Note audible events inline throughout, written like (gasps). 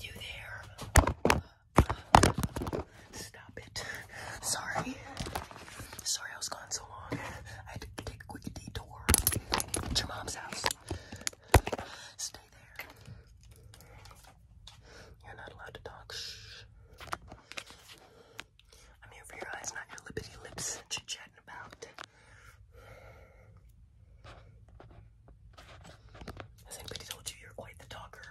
You there? Stop it. Sorry. Sorry I was gone so long. I had to take a quick detour at your mom's house. Stay there. You're not allowed to talk. Shh. I'm here for your eyes, not your lippity lips that you about. Has anybody told you you're quite the talker?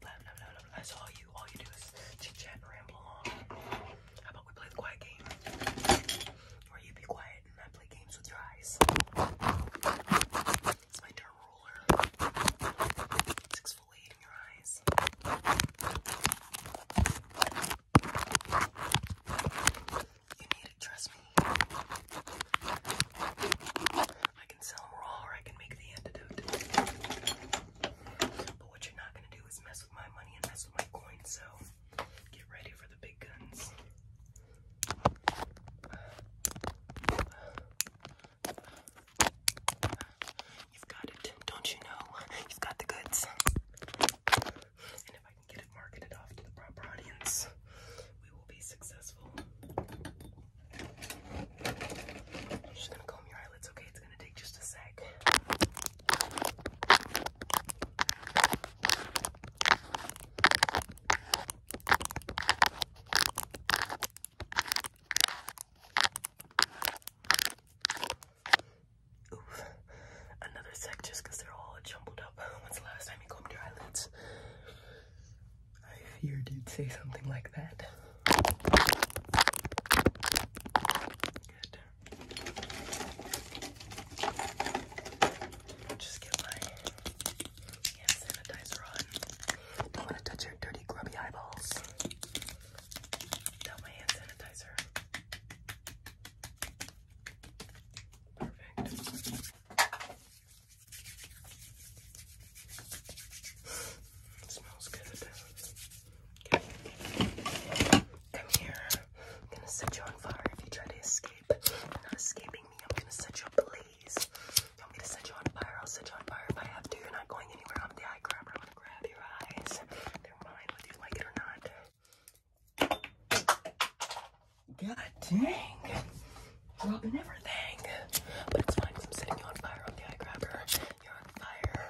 Blah, blah, all you. All you do is chit chat ramble on. How about we play the quiet game? Where you be quiet and I play games with your eyes. It's my dirt ruler. It's exfoliating your eyes. You need it, trust me. I can sell them raw or I can make the antidote. But what you're not gonna do is mess with my money and mess with my coin, so get ready for the big guns. You've got it, don't you know? You've got the goods. I can get it marketed off to the proper audience, we will be successful. just gonna comb your eyelids, okay? It's gonna take just a sec. Oof. Another sec just because they're all jumbled up. (laughs) When's the last time you combed your eyelids? I feared you'd say something like that. Just get my hand sanitizer on. Don't want to touch your dirty, grubby eyeballs. Without my hand sanitizer. Perfect. smells good. Come here. I'm gonna set you on fire if you try to escape. You're not escaping me. I'm gonna set you ablaze. want me to set you on fire? I'll set you on fire if I have to. You're not going anywhere. I'm the eye grabber. I'm gonna grab your eyes. They're mine, whether you like it or not. God dang. Dropping everything. But it's fine I'm setting on fire. I grabbed her. You're on fire.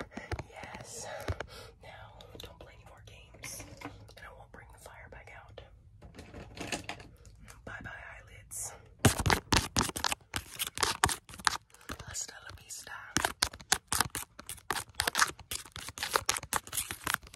Yes. Now, don't play any more games. And I won't bring the fire back out. Bye bye, eyelids. Hasta la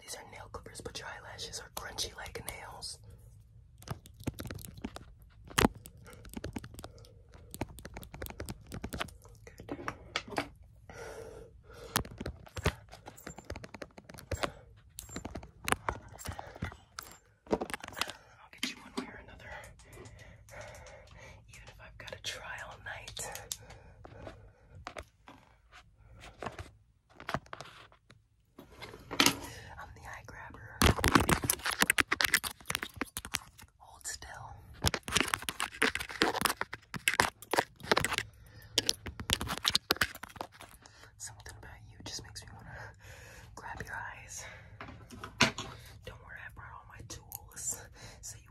These are nail clippers, but your eyelashes are crunchy like nails. Good. I'll get you one way or another even if I've got a trial night. I'm the eye grabber. Hold still. Something about you just makes me want to grab your eyes. Don't worry, I brought all my tools so you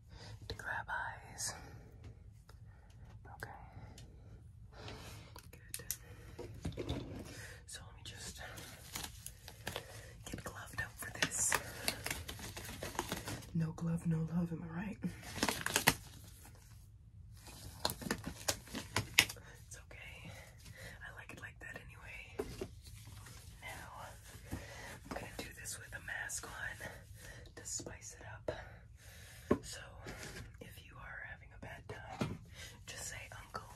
to grab eyes. Okay. Good. So let me just get gloved up for this. No glove, no love, am I right? It's okay. I like it like that anyway. Now I'm gonna do this with a mask on to spice it up. So if you are having a bad time, just say uncle.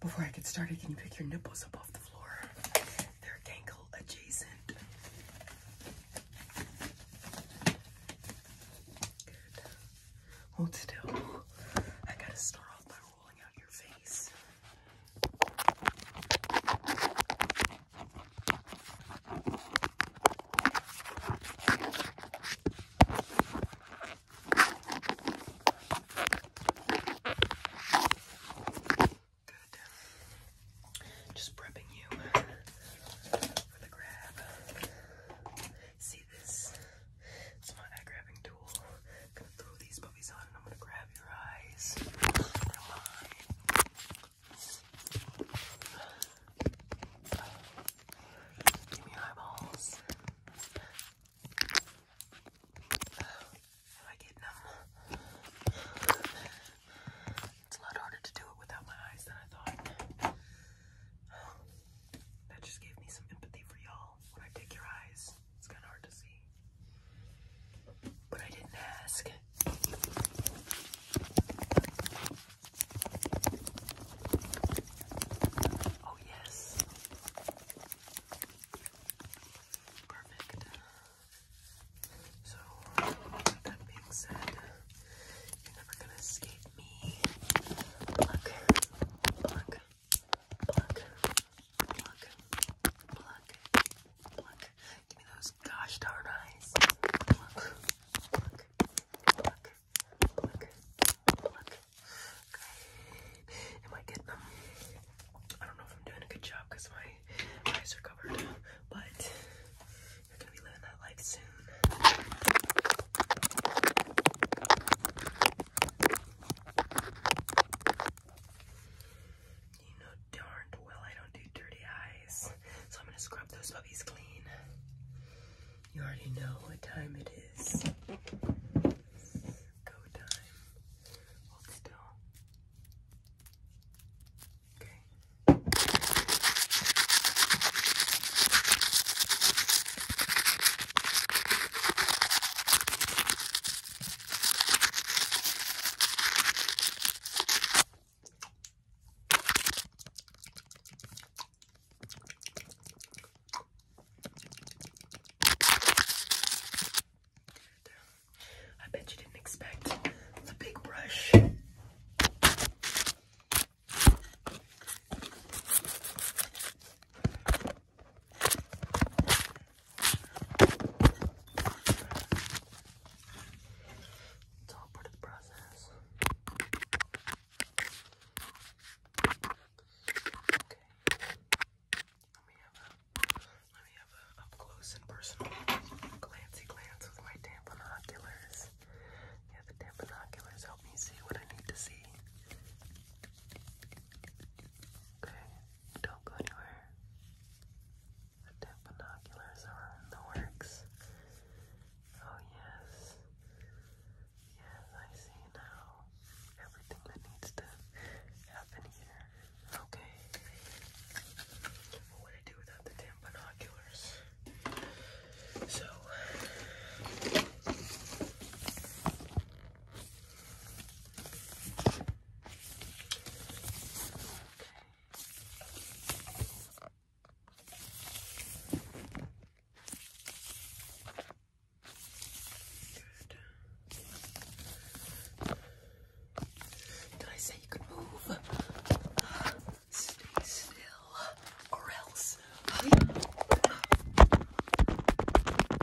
Before I get started, can you pick your nipples up off the floor? They're ankle adjacent. Hold still. I gotta start off by just prepping you for the grab. See this? It's not grabbing I'm gonna throw these puppies on and I'm gonna grab your eyes. they eyeballs. Am I getting them? It's a lot harder to do it without my eyes than I thought. That just gave me some empathy for y'all. When I take your eyes, it's kind of hard to see. But I didn't ask. Oh, yes. Perfect. So, that being said, you're never gonna escape me. Pluck, pluck, Pluck, pluck, pluck, pluck. Give me those gosh darn eyes. Pluck, pluck, pluck, pluck, pluck. Okay. Am I getting them? I don't know if I'm doing a good job because my eyes are covered, but you're gonna be living that life soon. You know darned well I don't do dirty eyes, so I'm gonna scrub those puppies clean. You already know what time it is. Go time. Hold still. Okay. I bet you didn't expect the big brush. It's all part of the process. Okay. Let me have a let me have a up close and personal glancey glance with my damn binoculars. Yeah, the damn binoculars help me see what I need to see. Okay, don't go anywhere. The binoculars are in the works. Oh, yes. Yes, I see now everything that needs to happen here. Okay. What would I do without the damn binoculars? So. Did I say you could move? Stay still, or else.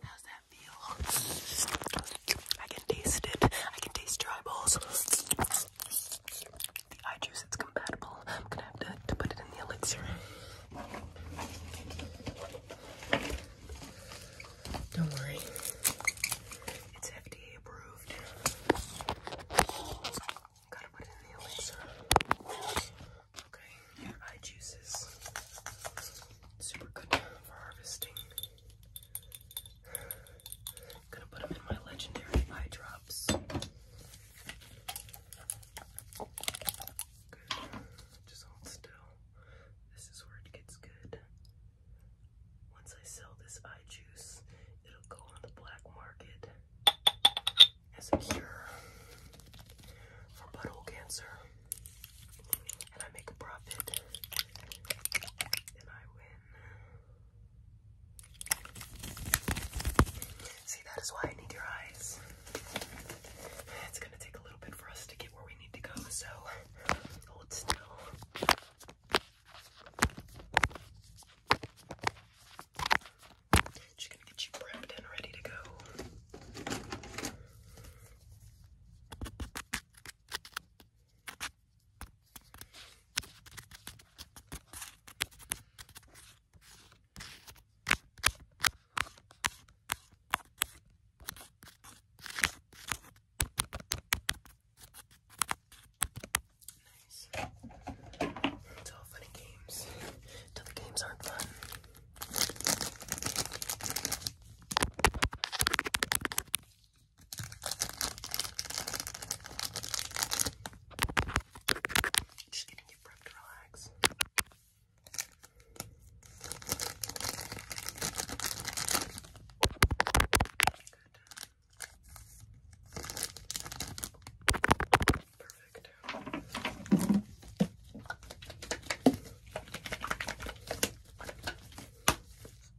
How's that feel? I can taste it. I can taste your eyeballs. The eye juice, it's compatible. I'm gonna have to, to put it in the elixir. Don't worry. It's FDA approved. Gotta put it in the elixir. Okay, eye juices. Super good for harvesting. I'm gonna put them in my legendary eye drops. Just hold still. This is where it gets good. Once I sell this eye juice, it'll go on the black market as a cure for butthole cancer and I make a profit and I win. See, that is why I need your eyes. It's gonna take a little bit for us to get where we need to go, so hold still. Just gonna get you prepped and ready to go. Nice. It's all funny games. Till the games aren't fun. Just getting you prepped to relax. Good. Perfect.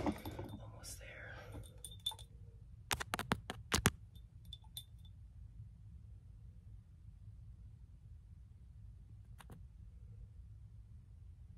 Okay, almost there.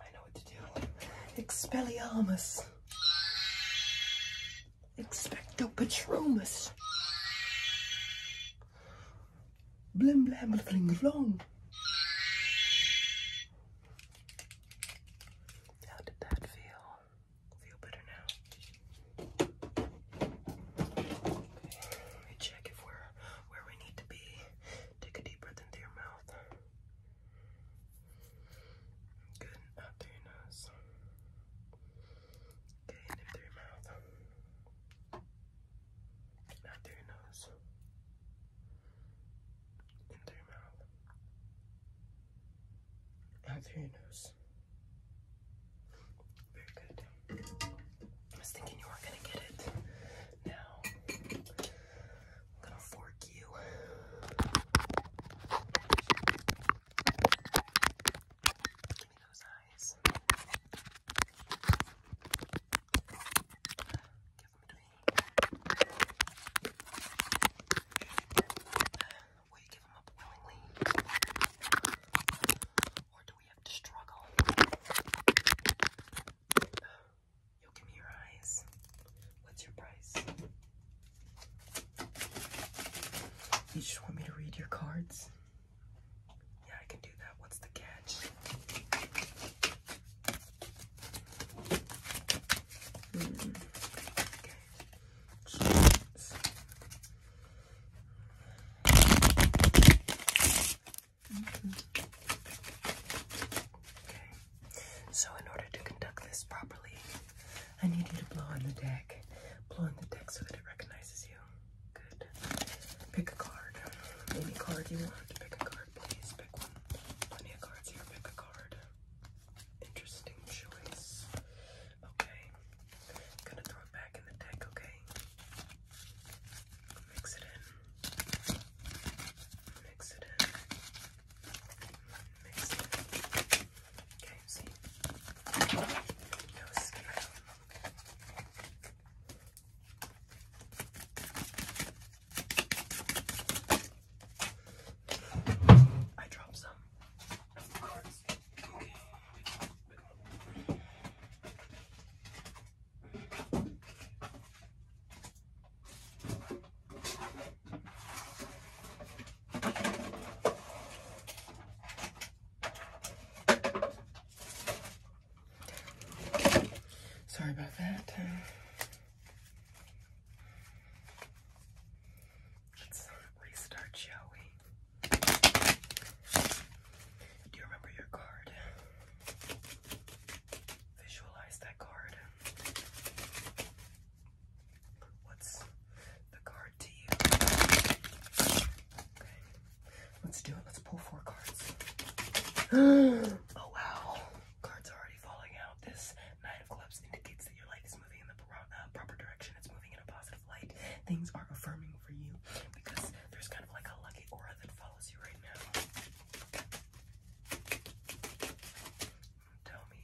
I know what to do. (laughs) Expelliarmus. Expecto Patronus. Blim blim bling blong. How did that feel? Feel better now? Okay, let me check if we're where we need to be. Take a deep breath into your mouth. Good, out through your nose. Okay, and your mouth. Out through your nose into your mouth, through your nose. Very good. I was thinking you were gonna get it. Now, I'm gonna fork you. Give me those eyes. Will you give them up willingly? Or do we have to struggle? you give me your eyes. What's your price? You just want me to read your cards? Yeah, I can do that. What's the catch? Okay. So in order to conduct this properly, I need you to blow on the deck. Blow on the deck so that it recognizes you. Good. Pick a card. Any card you want. Pick a card please. Pick one. Plenty of cards here. Pick a card. Interesting choice. Okay. gonna throw it back in the deck, okay? Mix it in. Mix it in. Mix it Okay, No scale. I dropped some cards. Okay. Sorry about that. Let's restart, shall we? Do you remember your card? Visualize that card. What's the card to you? Let's do it. Let's pull four cards. (gasps) oh wow. Cards are already falling out. This Nine of Clubs indicates that your life is moving in the uh, proper direction. It's moving in a positive light. Things are affirming for you because there's kind of like a lucky aura that follows you right now. Tell me.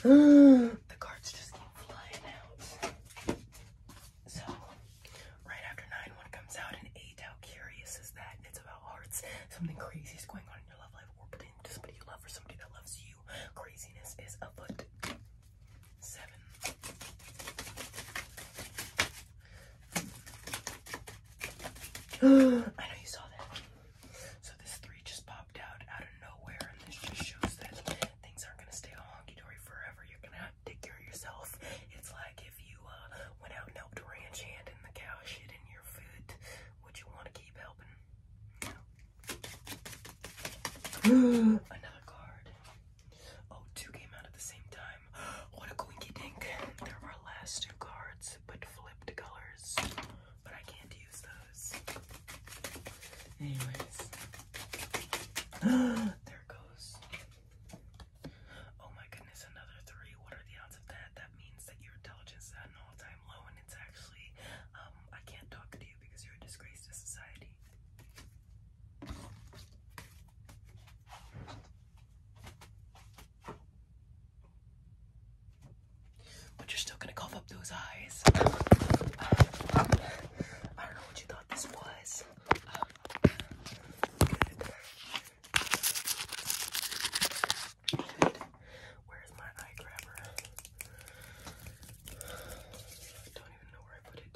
Tell me. (gasps) the cards just keep flying out. So, right after 9-1 comes out and 8, how curious is that? It's about hearts. Something crazy is going on in your love life or between somebody you love or somebody that loves you. Craziness is afoot. 7. (gasps) I know you saw that. So this 3 just out of nowhere, and this just shows that things aren't gonna stay all honky dory forever. You're gonna have to take care of yourself. It's like if you uh, went out and helped a ranch hand and the cow shit in your foot, would you want to keep helping? (gasps) Another card. Oh, two came out at the same time. (gasps) What a coinky dink. They're our last two cards, but flipped colors. But I can't use them. Anyways. (gasps) there goes. Oh my goodness, another three. What are the odds of that? That means that your intelligence is an all-time low and it's actually um, I can't talk to you because you're a disgrace to society. But you're still gonna cough up those eyes. I don't know what you thought this was. Where's my eye grabber? I don't even know where I put it.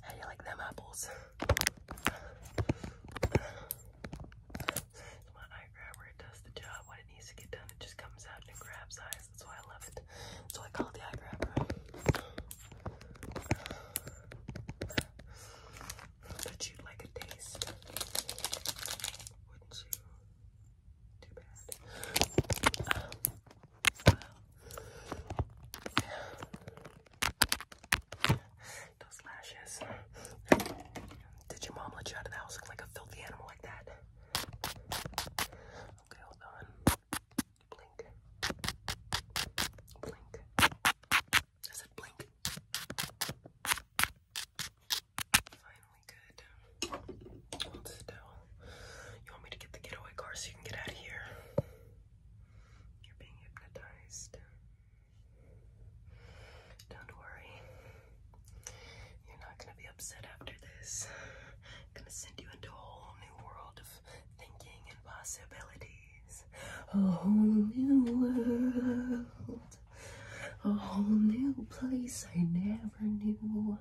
How you like them apples? my eye grabber, does the job when it needs to get done, it just comes out and grabs eyes. That's why I love it. That's I call it the eye grabber. But you like a taste. Wouldn't you? Too bad. Um, those lashes. Did your mom let you out of the house like a filthy animal like that? Okay, hold on. Blink. Blink. I said blink. Finally good. Hold still. You want me to get the getaway car so you can get out of here? You're being hypnotized. Don't worry. You're not gonna be upset after this. I'm gonna send you into a whole new world of thinking and possibilities. A whole new world. A whole new place I never knew.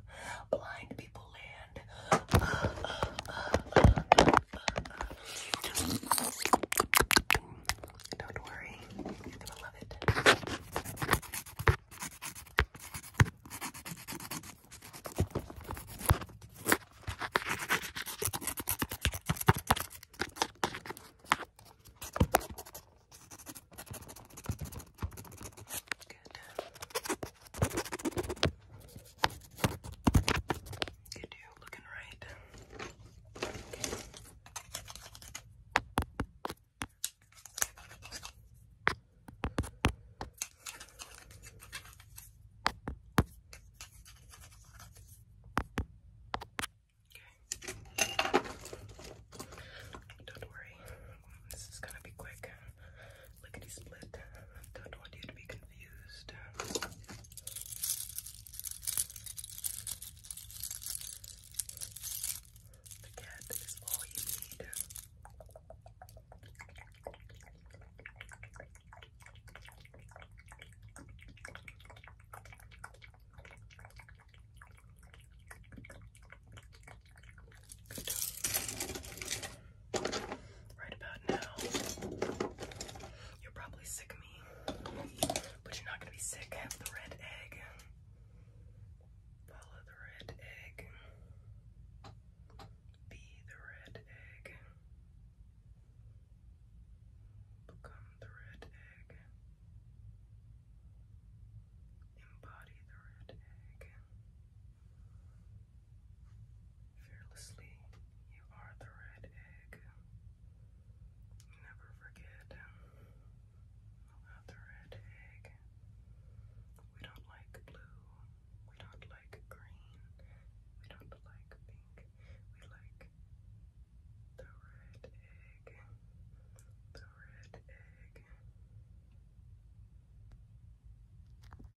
Blind people land don't worry, you will love it. Good. Good deal, looking right. Okay. Don't worry, this is gonna be quick lickety split. Don't want you to be confused. The cat is all you need right about now. You're probably sick of me, but you're not gonna be sick of the red egg. Follow the red egg. Be the red egg. Become the red egg. Embody the red egg. Fearlessly, you are the red egg. Never forget um, the red egg. We don't like blue. We don't like green. We don't like pink. We like the red egg. The red egg.